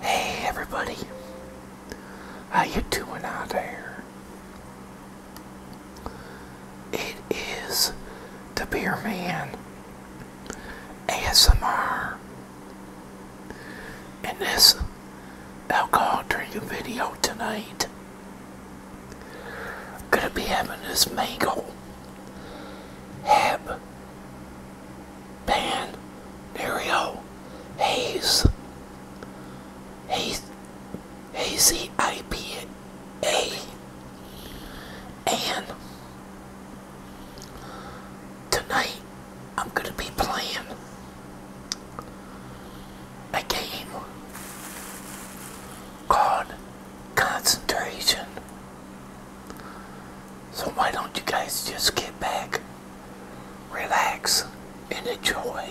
Hey everybody, how you doing out there? It is the Beer Man ASMR, in this alcohol drinking video tonight. gonna be having this mango hab Pan, Mario, haze, Hayes, Hazy IPA, and tonight I'm going to be playing a game called Concentration. So why don't you guys just get back, relax, and enjoy.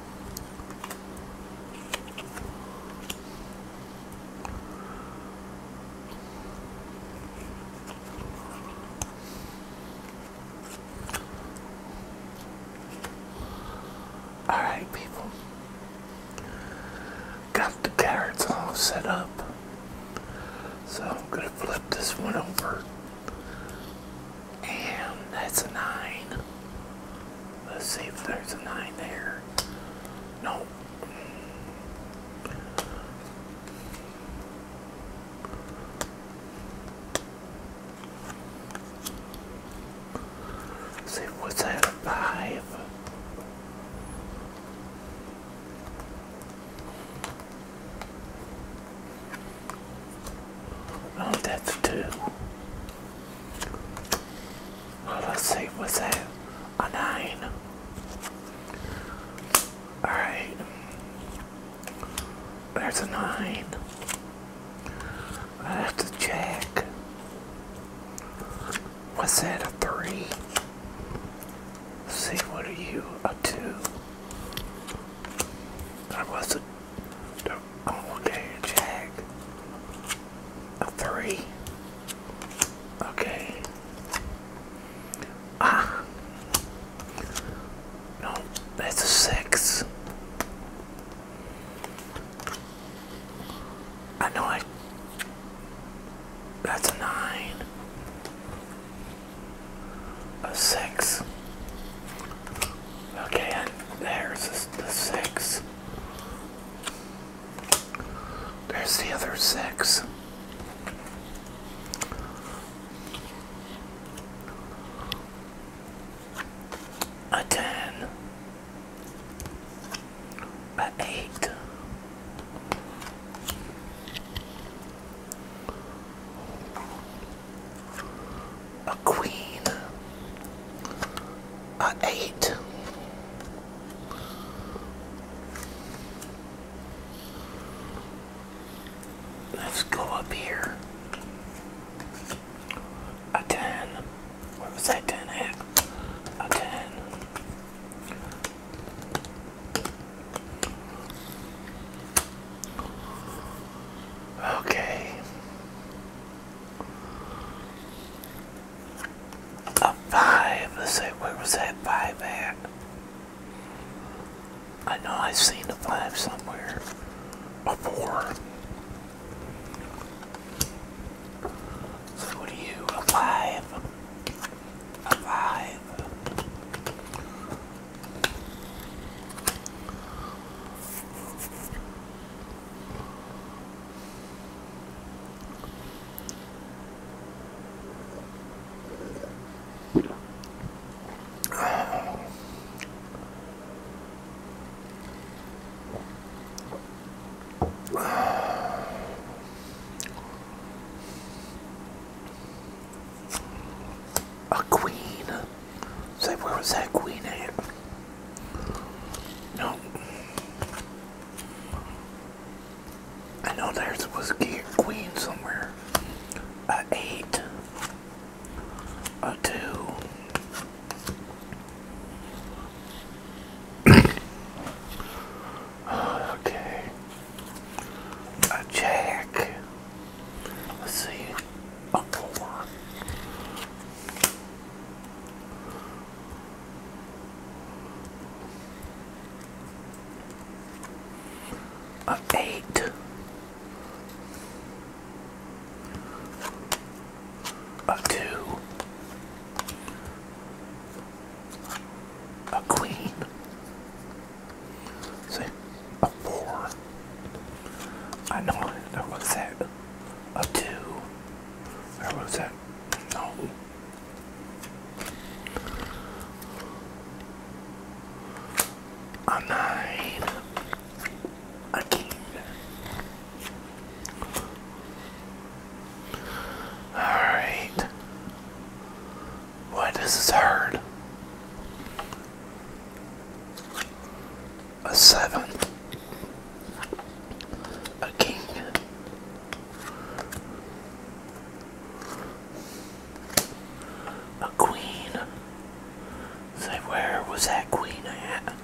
All right, people. Got the carrots all set up. So I'm going to flip this one over and that's a 9. Let's see if there's a 9 there. No. see, what's that? 5? Oh, that's 2. Well, let's see, what's that? A nine. Alright. There's a nine. I have to check. Was that, a 3 see, what are you, a two? I wasn't okay Jack. A three. Okay. Ah. No, that's a six. I know I. That's a nine. A six. Okay, and there's the six. There's the other six. A ten. A eight a queen, a eight, let's go up here, a ten, where was that ten at? A ten. Okay. A five. Let's see, where was that five at? I know I've seen the five somewhere. A four. So are you? A five. A five. A queen. Say, where was that queen at? No. I know there was a queen somewhere. A eight. A two. okay. A jack. Let's see. October. A eight, a two, a queen, see, a four. I know that was that a two. Where was that? No. A nine. A king. Alright. does this hurt? a seven, a king, a queen. Say, where was that queen at?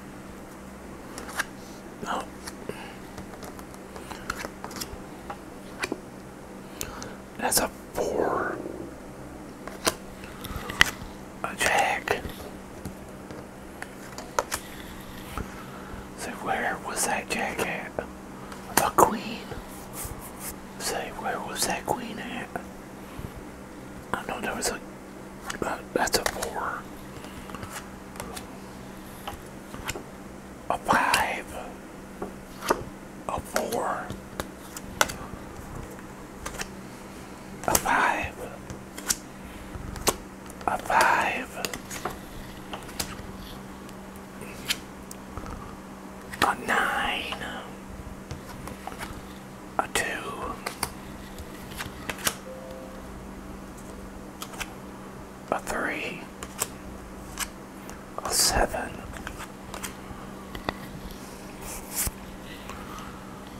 Oh. That's a four a jack. Say, where was that jack at? A queen. Say, where was that queen at? I know there was a. Uh, that's a four. A five. A four. A five a five, a nine, a two, a three, a seven.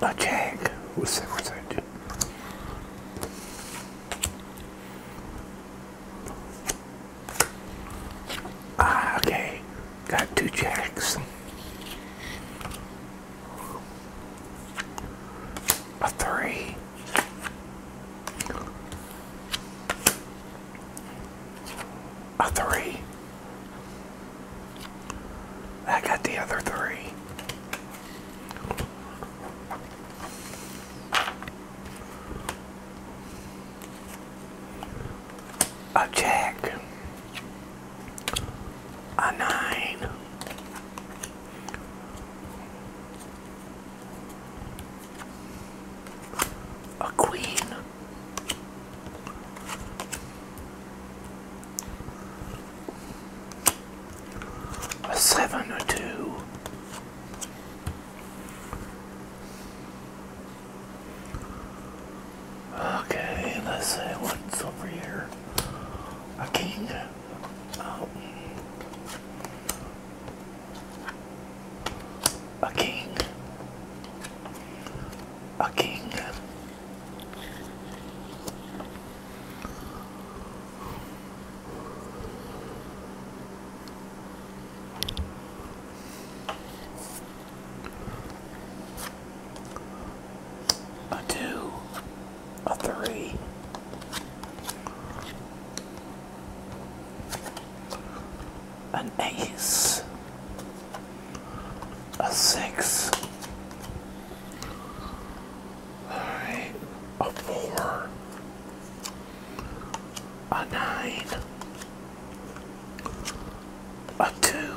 A jag. What's that? What's that? Ah, okay. Got two jacks a three. A three. I got the other three. A jack a nine. A queen, a seven, a two, okay, let's say what's over here a king. Um, a king. A king. A a three. An ace, a six, a four, a nine, a two,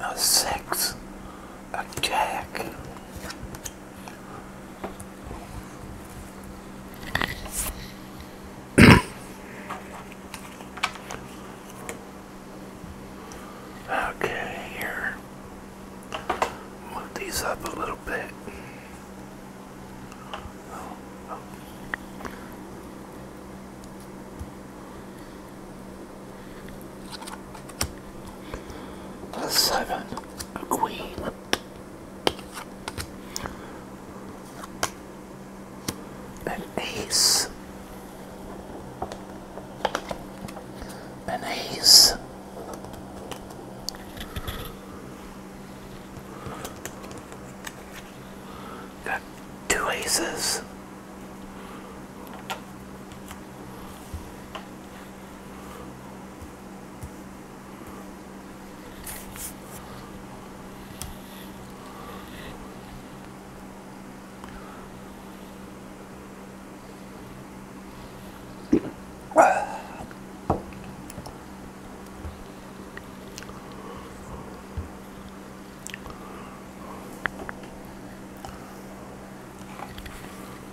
a six, a jack. okay, here. Move these up a little bit. A seven, a queen. An ace, an ace, Got two aces.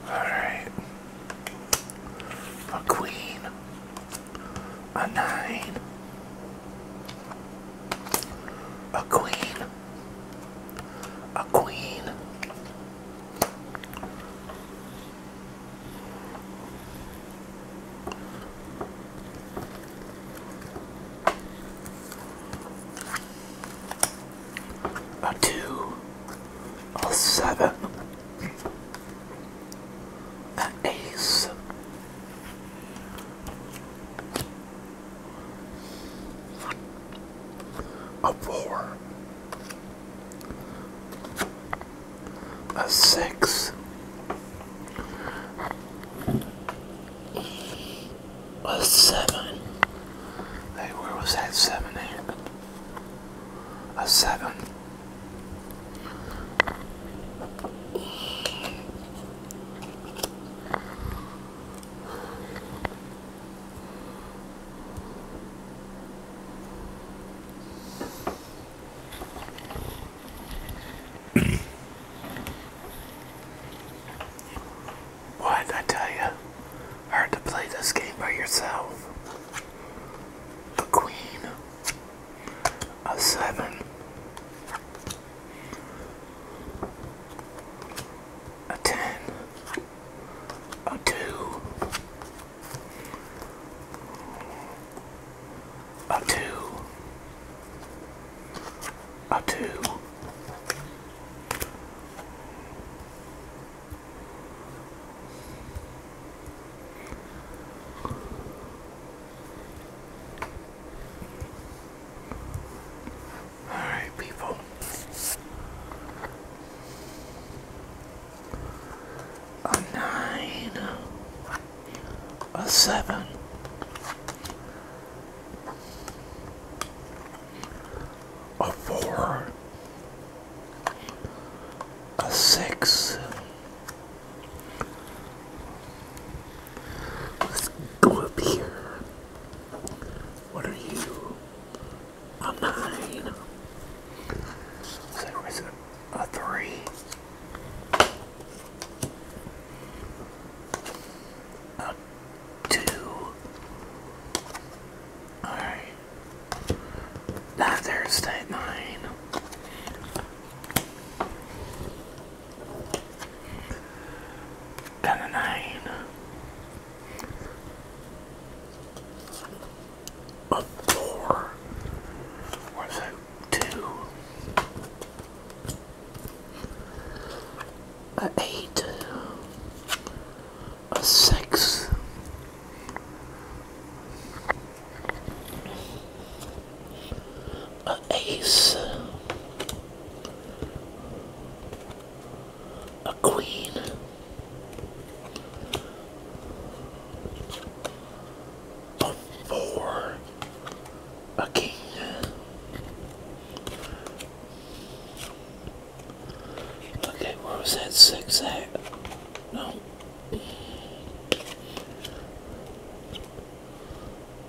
Alright. A queen. A nine. A queen. A queen a two, a seven, an ace. A four, a six, a seven. Hey, where was that seven at? A seven what I tell you, hard to play this game by yourself. A queen a seven. A ten, a two, a two, a two, all right, people a nine, a seven, a four, a six. Let's go up here. What are you? A nine. So there was a three. A two. Alright. Now there's that nine. Got a nine a four a two, a eight, a six. An ace, a queen, but four again. Okay, where was that six at? No.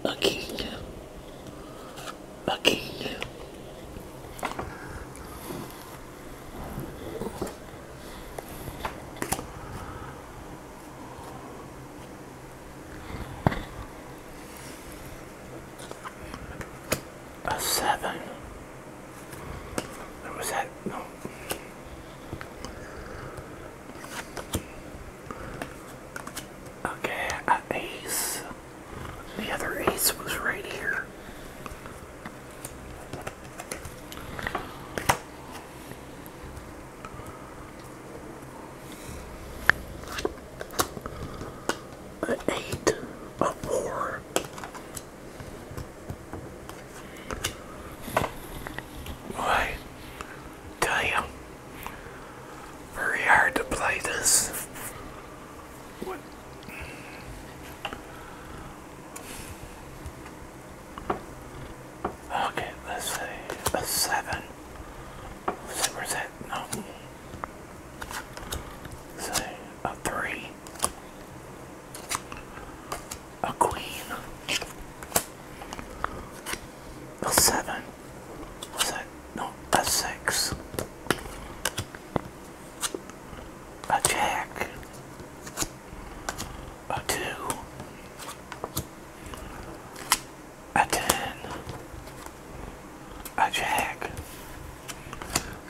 A king. A king. A seven. Or was that no? Okay, an ace. The other ace was right here eight of four. Why? Tell very hard to play this. What? Okay, let's say a seven. So where's that? No. Say a three. A queen. A seven. What's that? No, a six. A jack a two, a ten, a jack.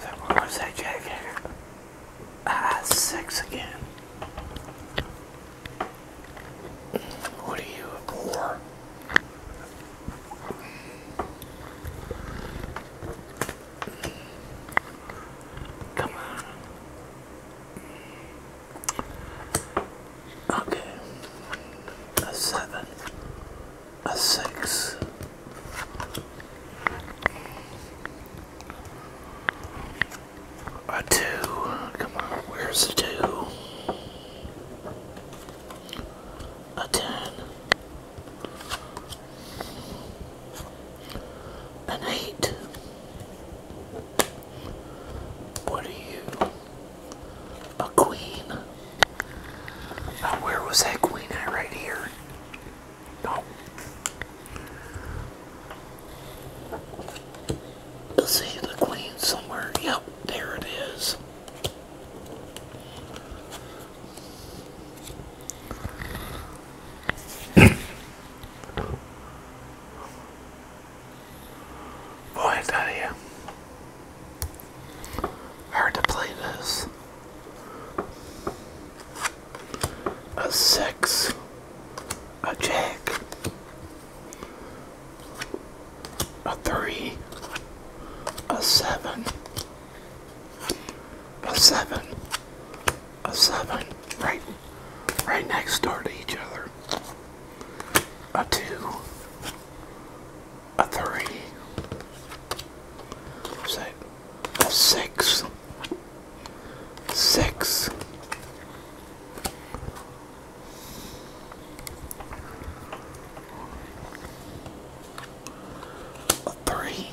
So what was that jack here? Ah, six again. What are you, a four? Come on. Okay. A seven. A six. A two. Come on, where's the two? A ten an eight. What are you? A queen. Uh, where was that queen at? Right here. No. You'll the queen somewhere. Yep, there it is. Boy, I tell you, hard to play this. A six, a jack, a three, a seven, a seven, a seven right right next door to each other. A two, a three, a six, six, a three,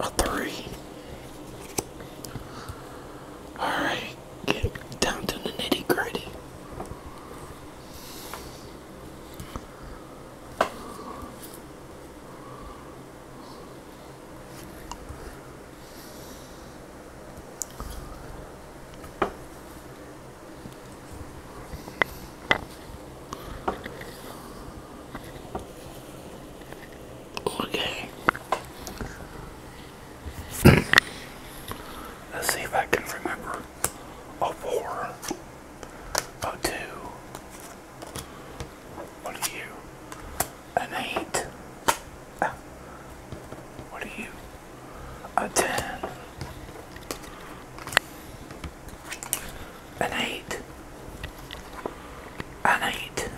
a three. Alright, get down to the nitty gritty. Okay. Let's see if I can remember. Oh four. Oh two. What are you? An eight. Ah. What are you? A ten an eight, an eight.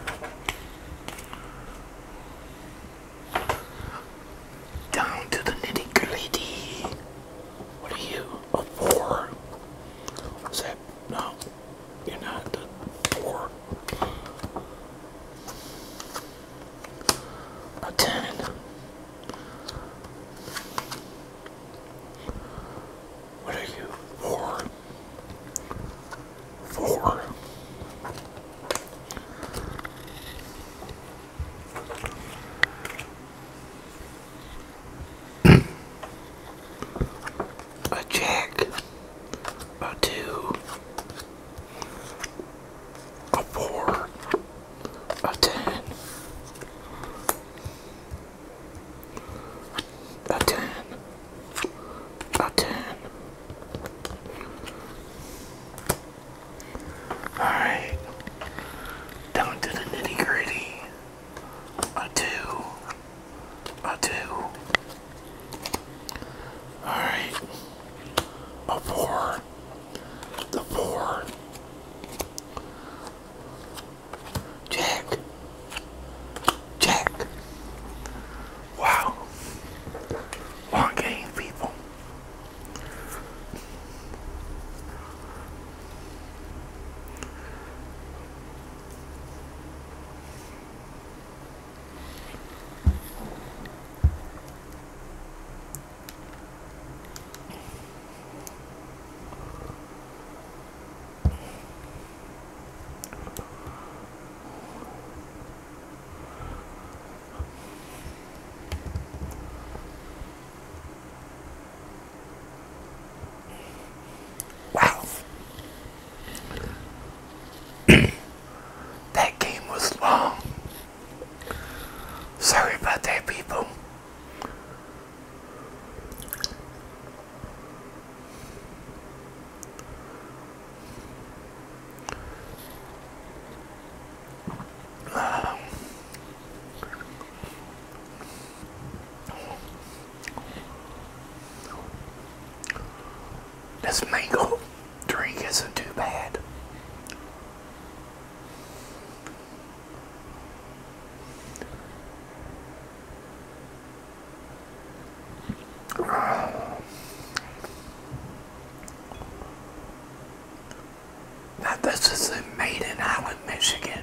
Down to the nitty gritty. What are you? A four? Is that no? You're not a four. A ten. What are you? Four. Four. A jack, a two, a four, a ten, a ten, a ten. All right, down to the nitty gritty. A two, a two. All right, a four, the four. Jack. Jack. Wow. Long game, people. Wow. that game was long. Sorry about that, people. This mango drink isn't too bad. Now this is in Maiden Island, Michigan.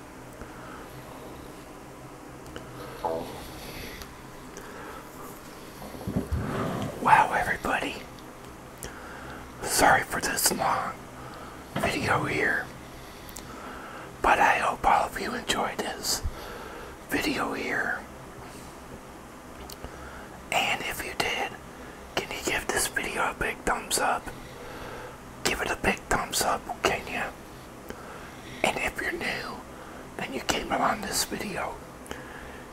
Wow, everybody. Sorry for this long video here. But I hope all of you enjoyed this video here. And if you did, can you give this video a big thumbs up? Give it a big thumbs up, can you? And if you're new and you came upon this video,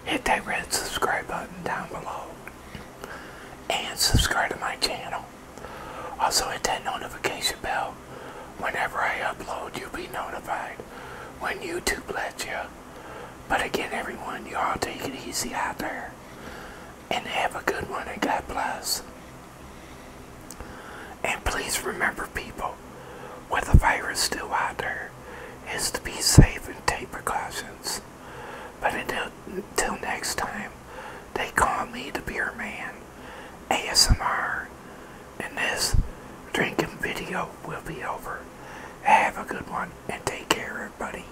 hit that red subscribe button down below and subscribe to my channel. Also hit that notification bell. Whenever I upload, you'll be notified when YouTube lets you. But again, everyone, you all take it easy out there. And have a good one and God bless. And please remember, people, with the virus still out there, is to be safe and take precautions. But until, until next time, they call me the Beer Man, ASMR, and this drinking video will be over. Have a good one, and take care, everybody.